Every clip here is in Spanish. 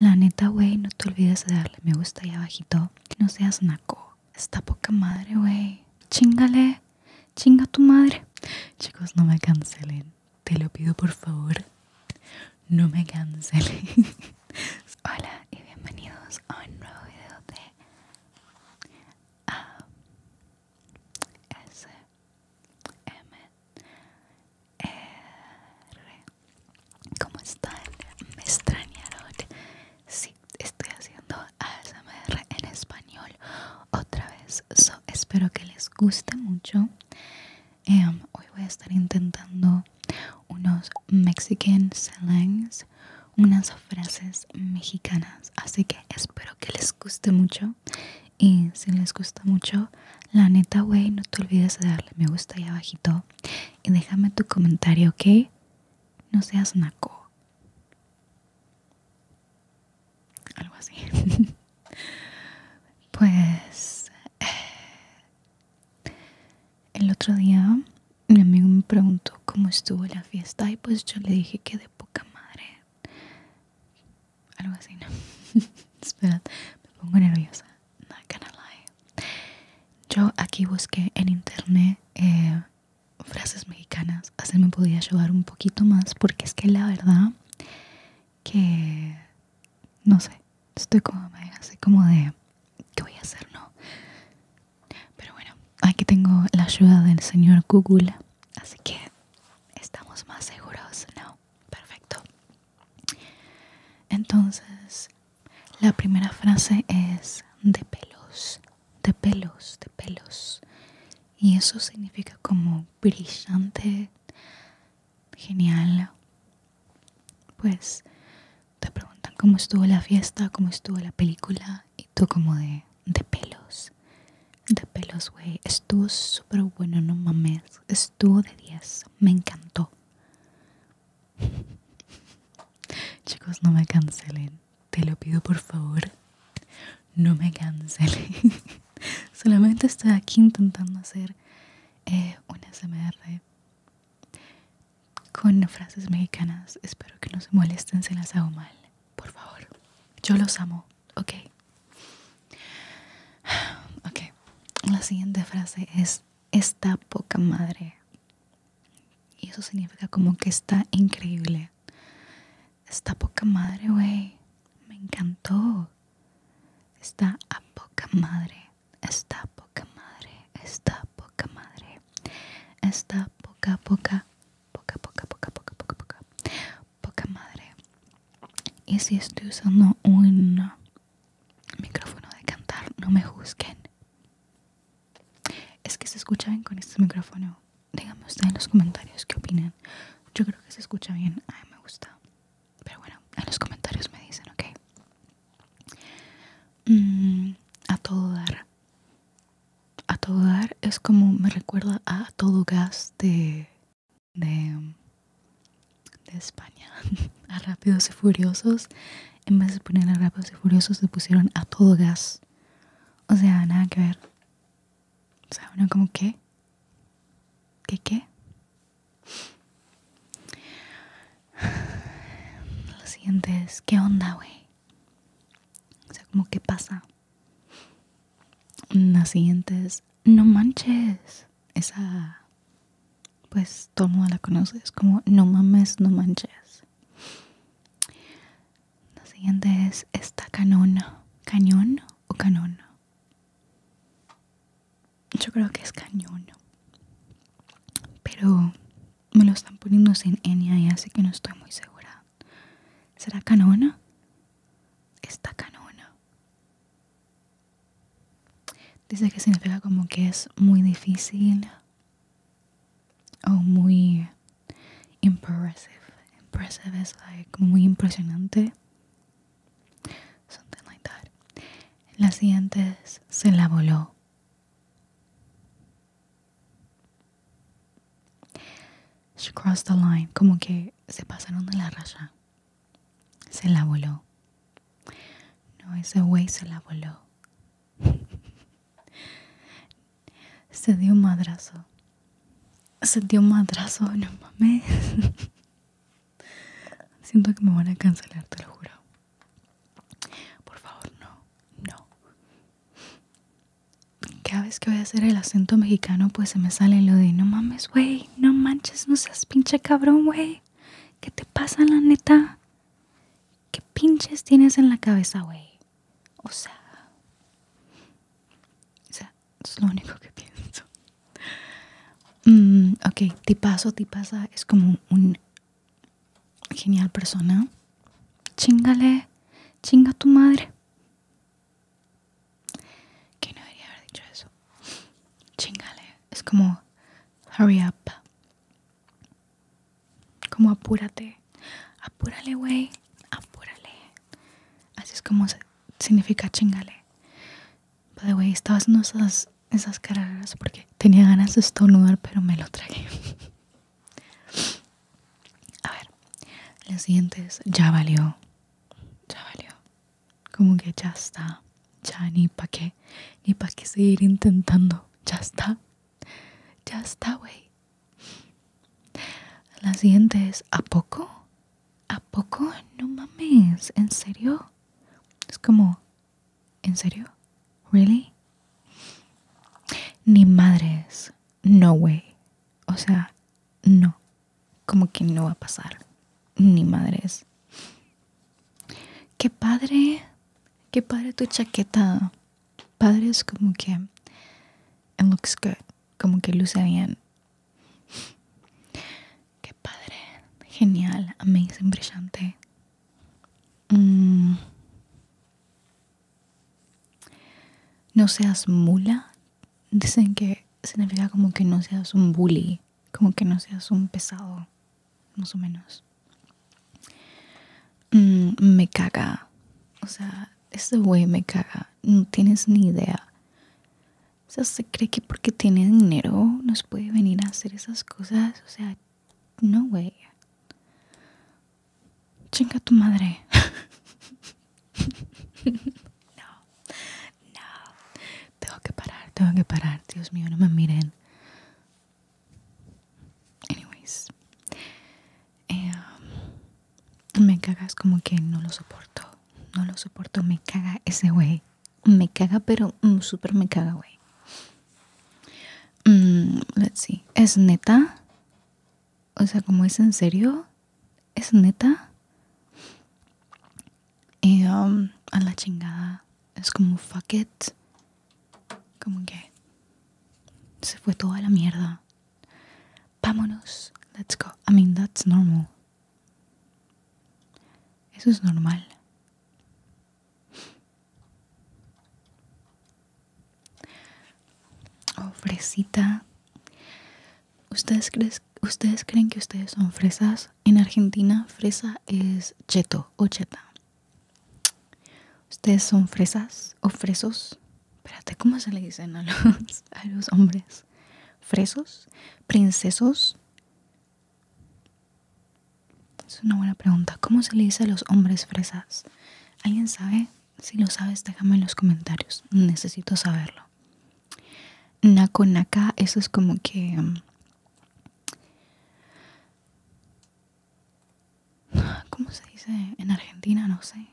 La neta, güey, no te olvides de darle me gusta ahí abajito. No seas naco. Está poca madre, güey. Chingale. Chinga tu madre. Chicos, no me cancelen. Te lo pido por favor. No me cancelen. Hola y bienvenidos a un nuevo video de A ah, S M eh, ¿Cómo están? ¿Me extrañaron? Sí, estoy haciendo ASMR en español otra vez. espero que les guste mucho. Em, hoy voy a estar intentando unos Mexican slangs, unas frases mexicanas. Así que espero que les guste mucho. Y si les gusta mucho, la neta, wey, no te olvides de darle me gusta ahí abajito y déjame tu comentario, ¿ok? No seas naco. Algo así. pues... Eh, el otro día mi amigo me preguntó cómo estuvo la fiesta y pues yo le dije que de poca madre algo así, ¿no? Espera, me pongo nerviosa. Not gonna lie. Yo aquí busqué en internet eh, frases mexicanas, así me podía ayudar un poquito más, porque es que la verdad que no sé, estoy como así como de ¿qué voy a hacer? No. Pero bueno, aquí tengo la ayuda del señor Google, así que estamos más seguros, ¿no? Perfecto. Entonces, la primera frase es de pelos, de pelos, de pelos. Y eso significa como brillante, genial. Pues te preguntan cómo estuvo la fiesta, cómo estuvo la película y tú como de, de pelos de pelos, güey. Estuvo súper bueno, no mames. Estuvo de 10. Me encantó. Chicos, no me cancelen. Te lo pido por favor. No me cancelen. Solamente estoy aquí intentando hacer eh, Un una SMR con frases mexicanas. Espero que no se molesten si las hago mal. Por favor. Yo los amo. Ok. Ok. La siguiente frase es, está poca madre. Y eso significa como que está increíble. Está poca madre, güey. Me encantó. Está a poca madre. Está poca madre. Está poca madre. Está poca, poca, poca, poca, poca, poca, poca, poca poca madre. Y si estoy usando un micrófono de cantar, no me juzguen. Es que se escucha bien con este micrófono. Díganme ustedes en los comentarios qué opinan. Yo creo que se escucha bien. A me gusta. Pero bueno, en los comentarios me dicen, ok. Mm, a todo dar. A todo dar es como me recuerda a todo gas de de, España a Rápidos y Furiosos, en vez de poner a Rápidos y Furiosos, se pusieron a todo gas. O sea, nada que ver. O sea, uno como que... ¿Qué qué? Lo siguiente es, ¿qué onda, güey? O sea, como qué pasa. La siguiente es No manches. Esa, pues todo el mundo la conoce. Es como No mames, no manches. La siguiente es esta canona ¿Cañón o canona Yo creo que es cañón. Pero me lo están poniendo sin ñ, así que no estoy muy segura. ¿Será Canona? Está Canona. Dice que significa como que es muy difícil o muy impressive. Impressive es like muy impresionante. Something like that. La siguiente es, se la voló. She crossed the line, como que se pasaron de la raya. Se la voló. No, ese güey se la voló. se dio madrazo. Se dio madrazo, no mames. Siento que me van a cancelar, te lo juro. Por favor, no, no, cada vez que voy a hacer el acento mexicano, pues se me sale lo de no mames, güey, no manches, no seas pinche cabrón, güey. ¿Qué te pasa, la neta? ¿Qué pinches tienes en la cabeza, güey? O sea, o sea, es lo único que pienso. Mm, ti paso, ti pasa? es como un Genial persona. Chingale. Chinga tu madre. Que no debería haber dicho eso. Chingale. Es como hurry up. Como apúrate. Apúrale, güey. Apúrale. Así es como significa chingale. Pero the way, estaba haciendo esas, esas caras porque tenía ganas de estornudar, pero me lo tragué. A ver, siguiente es ya valió. Ya valió. Como que ya está. Ya ni pa' qué. Ni para qué seguir intentando. Ya está. Ya está, güey. La siguiente es ¿a poco? ¿A poco? No mames. ¿En serio? Es como ¿En serio? ¿Really? Ni madres. No way. O sea, no. Como que no va a pasar. Ni madres. Qué padre. Qué padre tu chaqueta. Padre como que. It looks good. Como que luce bien. Qué padre. Genial. Amazing. Brillante. Mm. No seas mula. Dicen que significa como que no seas un bully, como que no seas un pesado, más o menos. Mm, me caga. O sea, este güey me caga. No tienes ni idea. O sea, se cree que porque tiene dinero nos puede venir a hacer esas cosas. O sea, no, way, Chinga tu madre. no, no. Tengo que parar, tengo que parar. Dios mío, no me miren. Anyways. Eh, me cagas como que no lo soporto. No lo soporto. Me caga ese güey. Me caga, pero mm, super me caga, güey. Mmm, let's see. ¿Es neta? O sea, como es en serio. ¿Es neta? Y um, a la chingada. Es como fuck it. Como que se fue toda la mierda. Vámonos. Let's go. I mean, that's normal. Eso es normal. Oh, fresita. ¿Ustedes, creen, que ustedes son fresas? En Argentina, fresa es cheto o cheta. ¿Ustedes son fresas o fresos? Espérate, ¿cómo se le dicen a los, a los hombres? ¿Fresos? ¿Princesos? Es una buena pregunta. ¿Cómo se le dice a los hombres fresas? ¿Alguien sabe? Si lo sabes, déjame en los comentarios. Necesito saberlo. Naco naca, eso es como que. Mm, ¿Cómo se dice en Argentina? No sé.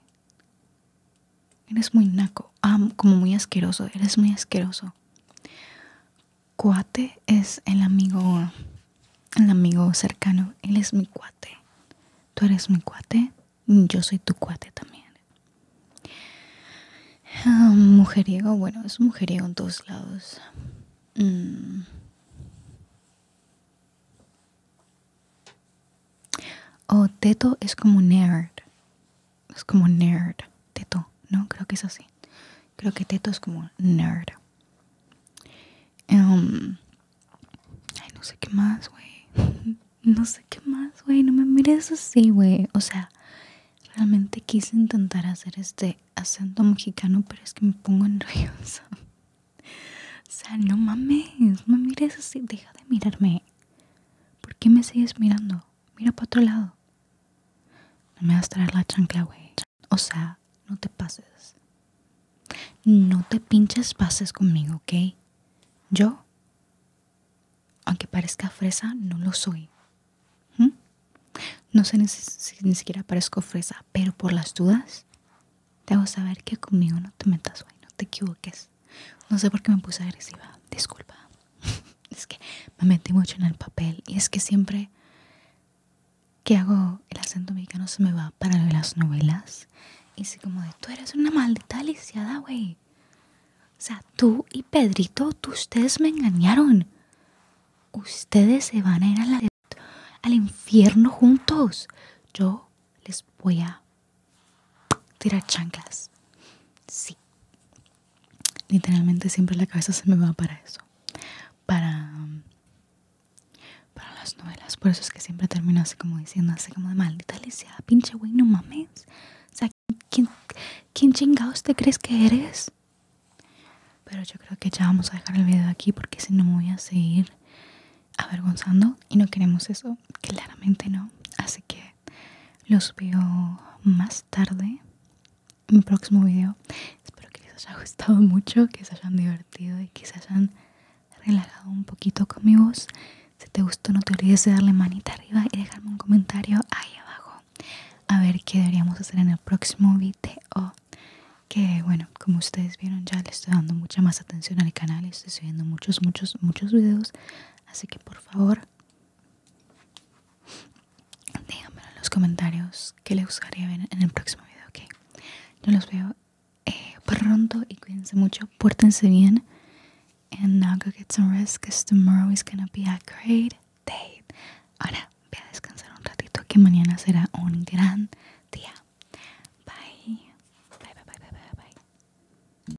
Eres muy naco. Ah, como muy asqueroso. Eres muy asqueroso cuate es el amigo, el amigo cercano. Él es mi cuate. Tú eres mi cuate. Yo soy tu cuate también. Ah, mujeriego, bueno, es mujeriego en todos lados. Mm. O oh, teto es como nerd es como nerd, teto, ¿no? Creo que es así. Creo que teto es como nerd. Em, ay, no sé qué más, güey. No sé qué más, güey. No me mires así, güey. O sea, realmente quise intentar hacer este acento mexicano, pero es que me pongo ruidos O sea, no mames, no me mires así. Deja de mirarme. ¿Por qué me sigues mirando? mira para otro lado. No me vas a traer la chancla, güey. O sea, no te pases. No te pinches pases conmigo, ¿ok? Yo, aunque parezca fresa, no lo soy. ¿Mm? No sé si, ni siquiera parezco fresa, pero por las dudas, te a saber que conmigo no te metas, güey. No te equivoques. No sé por qué me puse agresiva. Disculpa. Es que me metí mucho en el papel y es que siempre que hago el acento mexicano se me va para las novelas. Y así como de, tú eres una maldita aliciada güey. O sea, tú y Pedrito, tú, ustedes me engañaron. Ustedes se van a ir al al infierno juntos. Yo les voy a tirar chanclas. Sí literalmente siempre la cabeza se me va para eso, para, para las novelas. Por eso es que siempre termino así como diciendo, así como de maldita Alicia, pinche güey, no mames. O sea, ¿quién, ¿quién chingados te crees que eres? Pero yo creo que ya vamos a dejar el video aquí porque si no me voy a seguir avergonzando y no queremos eso, claramente no. Así que los veo más tarde en mi próximo video. Espero que les haya gustado mucho, que se hayan divertido y que se hayan relajado un poquito con mi voz. Si te gustó no te olvides de darle manita arriba y dejarme un comentario ahí abajo. A ver qué deberíamos hacer en el próximo video. Que bueno, como ustedes vieron ya le estoy dando mucha más atención al canal y estoy subiendo muchos, muchos, muchos videos. Así que por favor Díganmelo en los comentarios que les gustaría ver en el próximo video, ok. Yo los veo eh, pronto y cuídense mucho, pórtense bien. And now go get some rest tomorrow is gonna be a great day. Ahora voy a descansar un ratito que mañana será un gran día. Bye, bye, bye, bye, bye. bye.